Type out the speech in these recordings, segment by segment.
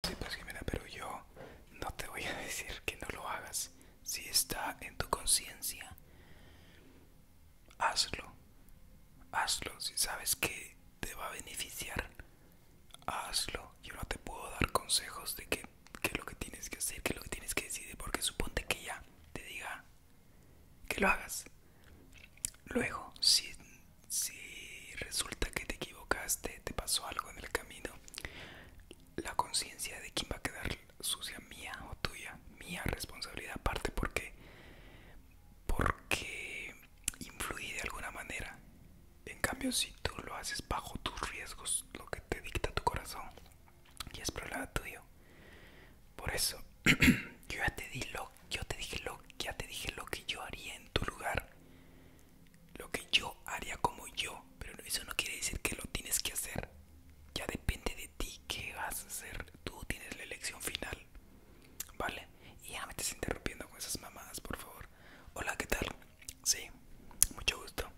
Pues, pero yo no te voy a decir que no lo hagas. Si está en tu conciencia, hazlo. Hazlo. Si sabes que te va a beneficiar, hazlo. Yo no te puedo dar consejos de qué es lo que tienes que hacer, qué es lo que tienes que decidir, porque suponte que ya te diga que lo hagas. Luego, si si resulta que te equivocaste, te pasó algo en el camino, la conciencia de quién va a quedar sucia mía o tuya, mía responsabilidad aparte porque porque influí de alguna manera. En cambio, si tú lo haces bajo tus riesgos, lo que te dicta tu corazón y es problema tuyo. Por eso yo ya te di lo, yo te dije lo, ya te dije lo que yo haría en tu lugar lo que yo haría como yo, pero eso no quiere decir que lo tienes que hacer. Ya depende de ti qué vas a hacer. Tú tienes la elección final. ¿Vale? Y ya me estás interrumpiendo con esas mamadas, por favor. Hola, ¿qué tal? Sí, mucho gusto.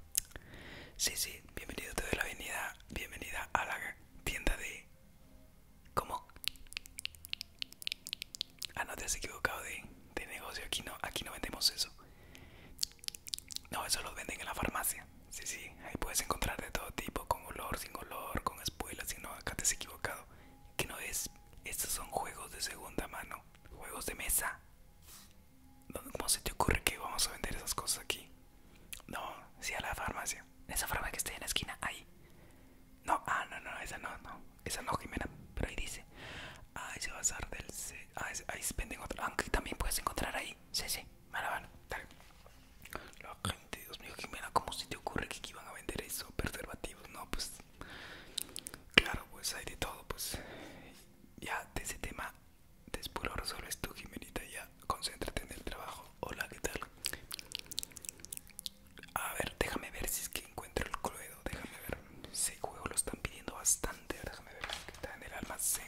Sí, sí, bienvenido, te doy la avenida, bienvenida a la tienda de... ¿Cómo? Ah, no, te has equivocado de, negocio. Aquí no, aquí no vendemos eso. No, eso lo venden en la farmacia. Sí, sí, ahí puedes encontrar de todo tipo, con olor, sin olor, con espuelas, si no, acá te has equivocado. Que no es, estos son juegos de segunda mano, juegos de mesa. ¿Cómo se te ocurre que vamos a vender esas cosas aquí? No, sí a la farmacia. Esa farmacia que está en la esquina, ahí. No, ah, no, no, esa no, no esa no Jimena, pero ahí dice ahí se va a hacer del... Ah, ahí se ahí venden otra, aunque también puedes encontrar ahí Sí, sí, mala, dale La gente, Dios mío, Jimena, ¿cómo se te ocurre que iban a vender eso? Preservativos, no, pues... Claro, pues hay de todo, pues... Ya, de ese tema después lo resuelves tú, Jimenita, ya Concéntrate en el trabajo Hola, ¿qué tal? A ver, déjame ver si es que encuentro el cluedo, déjame ver. Ese juego lo están pidiendo bastante. Déjame ver está en el almacén.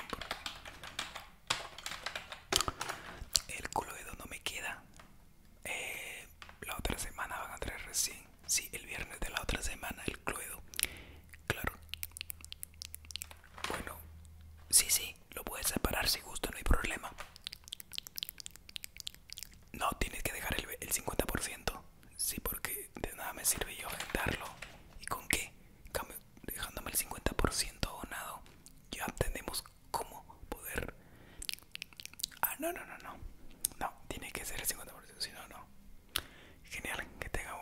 El cluedo no me queda. Eh, la otra semana van a traer recién. Sí, el viernes de la otra semana el cluedo. Claro. Bueno, sí, sí, lo puedes separar si gusto, no hay problema. No, tienes que dejar el, el 50%. Sí, porque de nada me sirve yo aventarlo. ¿Y con qué? Dejándome el 50% donado Ya tenemos cómo poder. Ah, no, no, no, no. No, tiene que ser el 50%, si no, no. Genial, que tenga,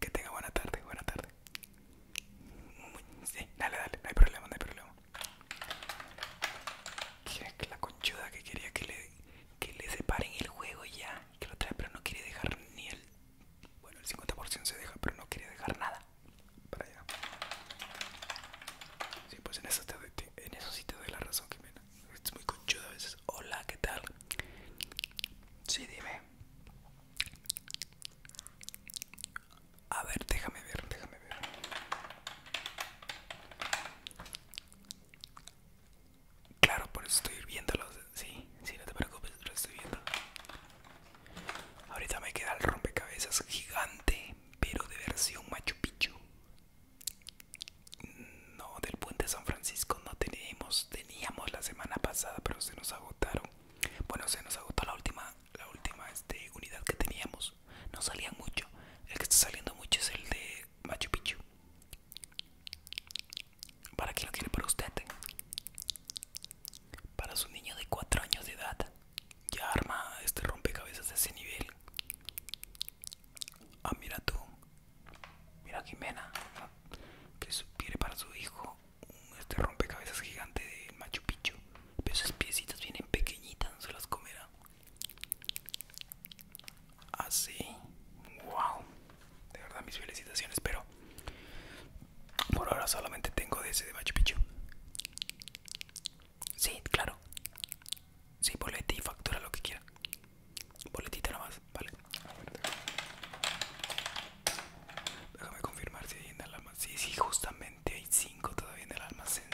que tenga buena tarde, buena tarde. Sí, dale, dale, no hay problema, no hay problema. Que la conchuda que quería que le, que le separen el juego ya que lo trae, pero no quiere dejar ni el. Bueno, el 50% se deja, pero no quiere dejar nada para allá. Sí, pues en eso, en eso sí te doy la razón, Jimena. Es muy conchudo a veces. Hola, ¿qué tal? Sí, dime. A ver, déjame ver, déjame ver. Claro, por eso estoy viéndolos. Sí, sí, no te preocupes, lo estoy viendo. Ahorita me queda el rompecabezas gigante, pero de versión Machu Picchu. No, del puente San Francisco no tenemos, teníamos la semana pasada, pero se nos agotaron. Bueno, se nos agotó la última, la última este, unidad que teníamos. No salían mucho. El que está saliendo mucho es el de Machu Picchu. ¿Para qué lo quiere para usted? Para su niño de 4 años de edad. Ya arma este rompecabezas de ese nivel. Ah, mira tú. Mira Jimena. Que quiere para su hijo este rompecabezas gigante de Machu Picchu. Pero esas piecitas vienen pequeñitas, no se las comerá así wow de verdad mis felicitaciones pero por ahora solamente tengo de ese de Machu Picchu sí claro sí bolete y factura lo que quiera boletita más, vale déjame confirmar si hay en el almacén sí sí justamente hay cinco todavía en el almacén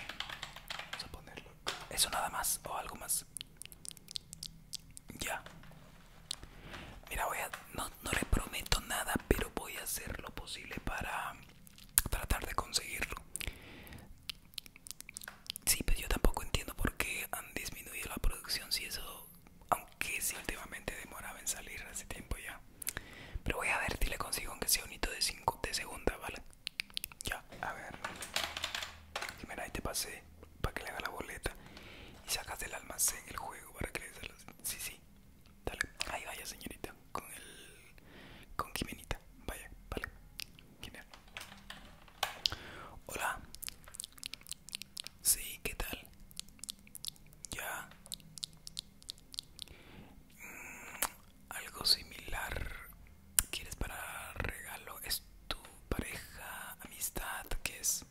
vamos a ponerlo eso nada más o algo más ya. Mira, voy a, no, no le prometo nada, pero voy a hacer lo posible para tratar de conseguirlo. Sí, pero pues yo tampoco entiendo por qué han disminuido la producción, si eso, aunque sí últimamente demoraba en salir hace tiempo ya. Pero voy a ver si le consigo aunque sea un hito de 5 de segunda, ¿vale? Ya, a ver. Mira, ahí te pasé para que le haga la boleta y sacas del almacén el juego para que le des los... Sí, sí, Ahí vaya señorita, con el... con Jimenita. Vaya, vale. Hola. Sí, ¿qué tal? Ya. Mm, algo similar. ¿Quieres para regalo? esto tu pareja, amistad, que es?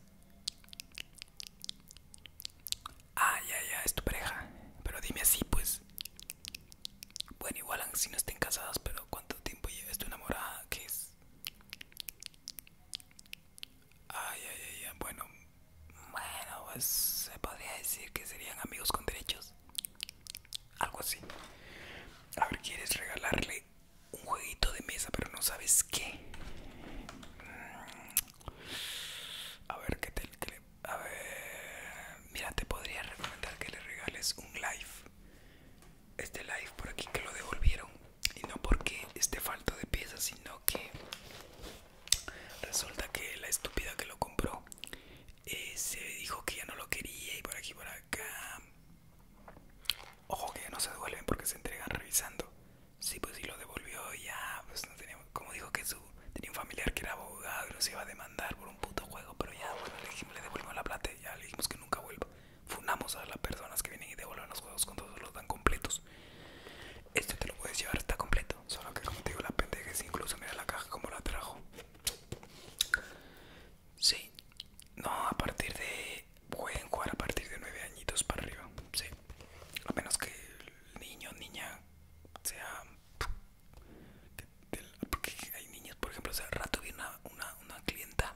ay ah, ya, ya, es tu pareja. Pero dime así, pues. Bueno, igual si no estén casados, pero ¿cuánto tiempo llevas tu enamorada? ¿Qué es? Ay, ay, ay, bueno. Bueno, pues se podría decir que serían amigos con derechos. Algo así. A ver, ¿quieres regalarle un jueguito de mesa, pero no sabes qué. Mm. A ver, ¿qué te, a ver, mira, te podría recomendar que le regales un live. Este live por aquí que lo devolvieron. Y no porque esté falto de piezas, sino que resulta que la estúpida que lo compró eh, se dijo que ya no lo quería y por aquí por acá Ojo que no se devuelven porque se entregan revisando. Sí, pues si lo devolvió ya, pues, Como dijo que su tenía un familiar que era abogado y los iba a demandar por un puto juego, pero ya, bueno, le dijimos, le devolvimos la plata y ya le dijimos que nunca vuelva. Funamos a las personas que vienen y devuelven los juegos cuando los dan completos. Esto te lo puedes llevar, está completo. Solo que como te digo, la pendeja es incluso, mira la caja como la trajo. Sí. No, a partir de... Pueden jugar a partir de nueve añitos para arriba. Sí. A menos que el niño o niña sea... Porque hay niños, por ejemplo, hace rato vi una, clienta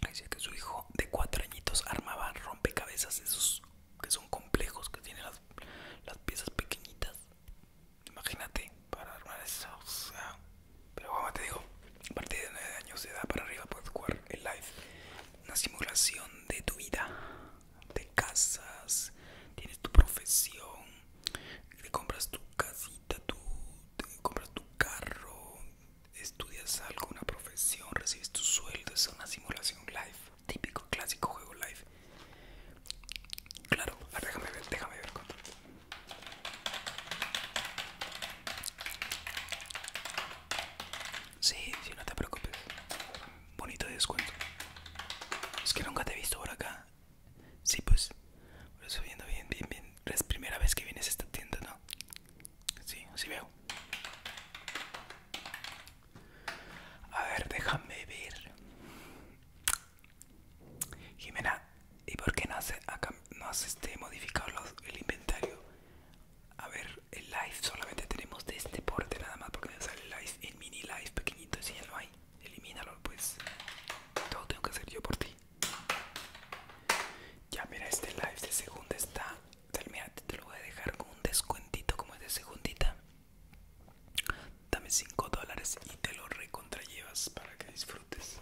que decía que su hijo de cuatro añitos armaba rompecabezas esos que son complejos, que tienen las, piezas pequeñitas. Imagínate, para armar eso, o sea, pero vamos, te digo, a partir de 9 años de edad para arriba puedes jugar el live. Una simulación de tu vida. de casas, tienes tu profesión, te compras tu casita, tú te compras tu carro, estudias algo, una profesión, recibes tu sueldo. Es una simulación live. Típico, clásico juego live. Claro, déjame ver, déjame ver Sí, sí, no te preocupes. Bonito descuento. Es que nunca te he visto por acá. Sí, pues. Lo estoy viendo bien, bien, bien. Es primera vez que vienes a esta tienda, ¿no? Sí, así veo. A ver, déjame ver. Jimena, ¿y por qué no has, no este, modificado el inventario? A ver, el live solamente tenemos de este porte nada más porque me sale el live, el mini live pequeñito, si ya no hay, elimínalo pues. Todo tengo que hacer yo por ti. Ya mira, este live de segunda está, te lo voy a dejar con un descuentito como es de segundita. Dame 5 dólares y te lo recontrallevas para que disfrutes.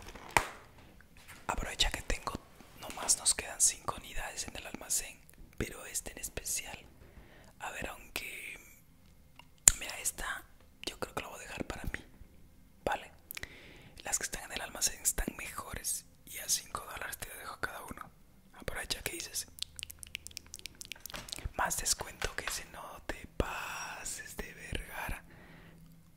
Aprovecha que tengo, nomás nos quedan 5 unidades en el almacén, pero este en especial. A ver, aunque... Mira, esta yo creo que la voy a dejar para mí. Vale. Las que están en el almacén están mejores y a 5 dólares te dejo cada uno. Aprovecha que dices. Más descuento que se no te pases de vergara.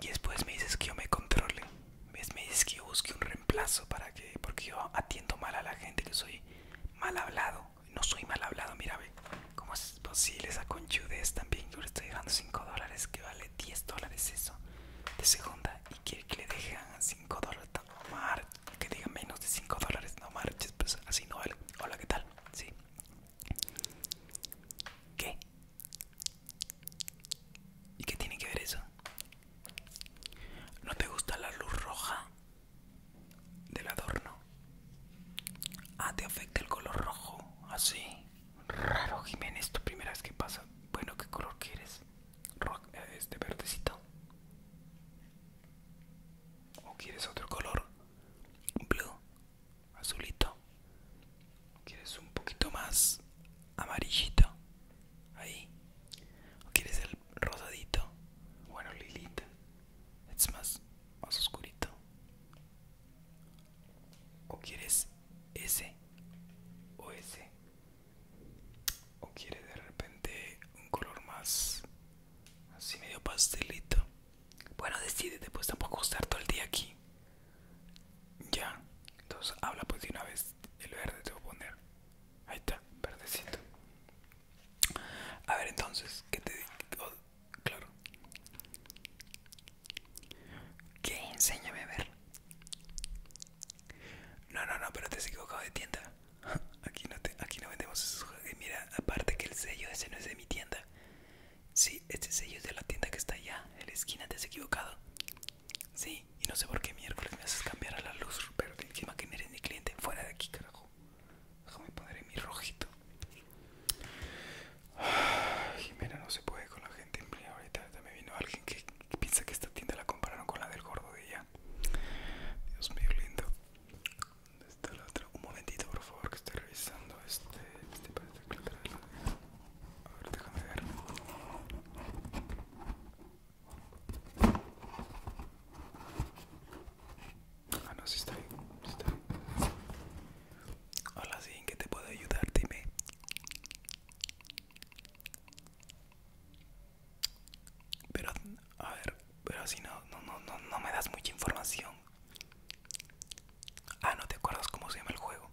y después me dices que yo me controle ¿Ves? me dices que yo busque un reemplazo para que porque yo atiendo mal a la gente que soy mal hablado no soy mal hablado mira ve cómo es posible esa conchudez también yo le estoy dando 5 dólares que vale 10 dólares eso de segunda y quiere que le dejan 5 dólares no que diga menos de 5 dólares no marches pues así no vale hola qué tal sí ¿Qué? ¿Y qué tiene que ver eso? ¿No te gusta la luz roja del adorno? Ah, te afecta el color rojo, así. Ah, Raro, Jiménez, tu primera vez que pasa. Bueno, ¿qué color quieres? Eh, este verdecito. ¿O quieres otro color? Blue, azulito. ¿Quieres un poquito más amarillito? Ahí. ¿O quieres el rosadito? Bueno, Lilita. Es más, más oscurito. ¿O quieres ese? ¿O ese? ¿O quieres de repente un color más así medio pastelito? Bueno, decídete, pues tampoco estar todo el día aquí. Ya, entonces habla pues de una vez el verde te voy a poner. Ahí está, verdecito. A ver entonces, ¿qué te digo? Oh, claro. ¿Qué? Enséñame a ver. No, no, no, pero te has equivocado de tienda. Aquí no, aquí no vendemos esos Mira, aparte que el sello ese no es de mi tienda. Sí, este sello es de la tienda que está allá, en la esquina, te has equivocado. Sí, y no sé por qué miércoles me haces cambiar a la luz pero Encima que miren mi cliente, fuera de aquí, carajo. Déjame poner mi rojito. Jimena no se puede con la gente. ahorita me vino alguien que piensa que esta tienda la compararon con la del gordo de ya. Dios mío, lindo. ¿Dónde está la otra? Un momentito, por favor, que estoy revisando este. Este este a ver, déjame ver. Ah, no, si está ahí está Hola, sí, ¿en qué te puedo ayudar? Dime. Pero, a ver, pero si no, no, no, no, no me das mucha información. Ah, no te acuerdas cómo se llama el juego.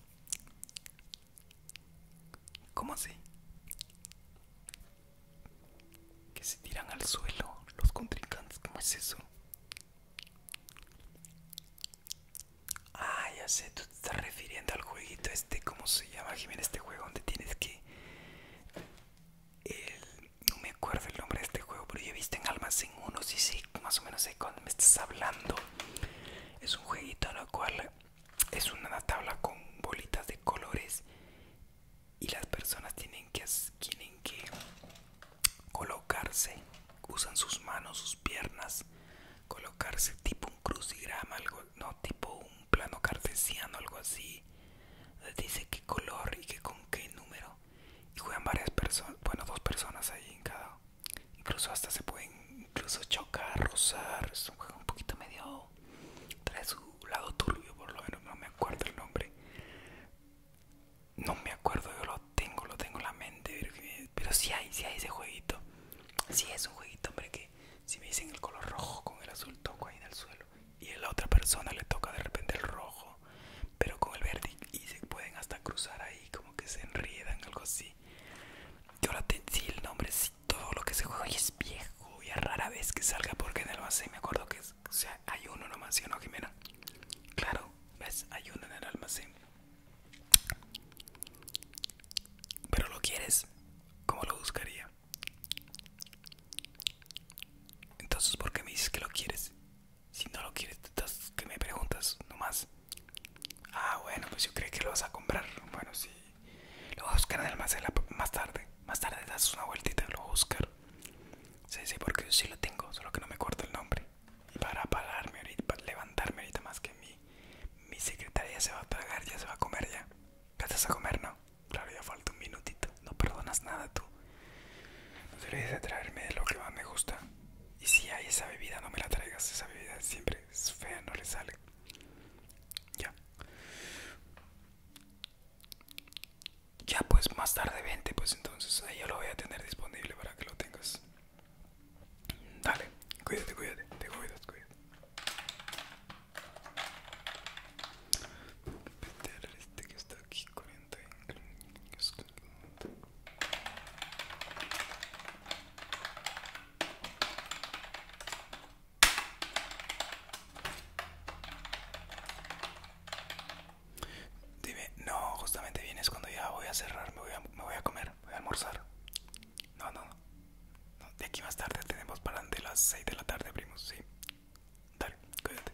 ¿Cómo así? Que se tiran al suelo los contrincantes, ¿cómo es eso? Ah, ya sé, tú te estás refiriendo al jueguito este, ¿cómo se llama, Jimena? Este juego donde tienes que... El, no me acuerdo el nombre de este juego, pero yo he visto en Almacén uno sí, sí, más o menos sé cuándo me estás hablando. Es un jueguito en el cual es una tabla con bolitas de colores y las personas tienen que, tienen que colocarse, usan sus manos, sus piernas, colocarse tipo un crucigrama, algo, no tipo un plano cartesiano, algo así. Dice qué color y con qué número. Y juegan varias personas, bueno, dos personas ahí en cada incluso hasta se pueden incluso chocar, rozar, es un juego un poquito medio, trae su lado turbio por lo menos, no me acuerdo el nombre, no me acuerdo, yo lo tengo, lo tengo en la mente, pero si hay, hay ese jueguito, si es un jueguito hombre que si me dicen el color rojo con el azul toco ahí en el suelo y a la otra persona le toca de repente el rojo pero con el verde y se pueden hasta cruzar ahí como que se enriedan algo así y ahora te, el nombre, si todo lo que se juega es viejo y a rara vez que salga porque en el almacén me acuerdo que o sea, hay uno nomás, ¿sí o no, Jimena? Claro, ves, hay uno en el almacén. Pero lo quieres, ¿cómo lo buscaría? Entonces, ¿por qué me dices que lo quieres? Si no lo quieres, entonces, ¿qué me preguntas nomás? Ah, bueno, pues yo creí que lo vas a comprar. Bueno, sí. Lo vas a buscar en el almacén más tarde. Más tarde das una vueltita, lo voy a buscar. Sí, sí, porque yo sí lo tengo, solo que no me corto el nombre. Y para pararme ahorita, para levantarme ahorita más que mi, mi secretaria se va a tragar, ya se va a comer ya. ¿Qué a comer, no? Claro, ya falta un minutito. No perdonas nada tú. No te olvides de traerme lo que más me gusta. Y si hay esa bebida, no me la traigas. Esa bebida siempre es fea, no le sale. Ya. Ya pues más tarde 20, pues entonces ahí yo lo voy a tener disponible para que lo tengas. Dale, cuídate, cuídate, te cuidas, cuídate. Este que está aquí, 40. Dime, no, justamente vienes cuando ya voy a cerrar, me voy a, comer, voy a almorzar. No, no, de aquí más tarde tenemos para de las 6 de la tarde, primos, sí. Dale, cuídate.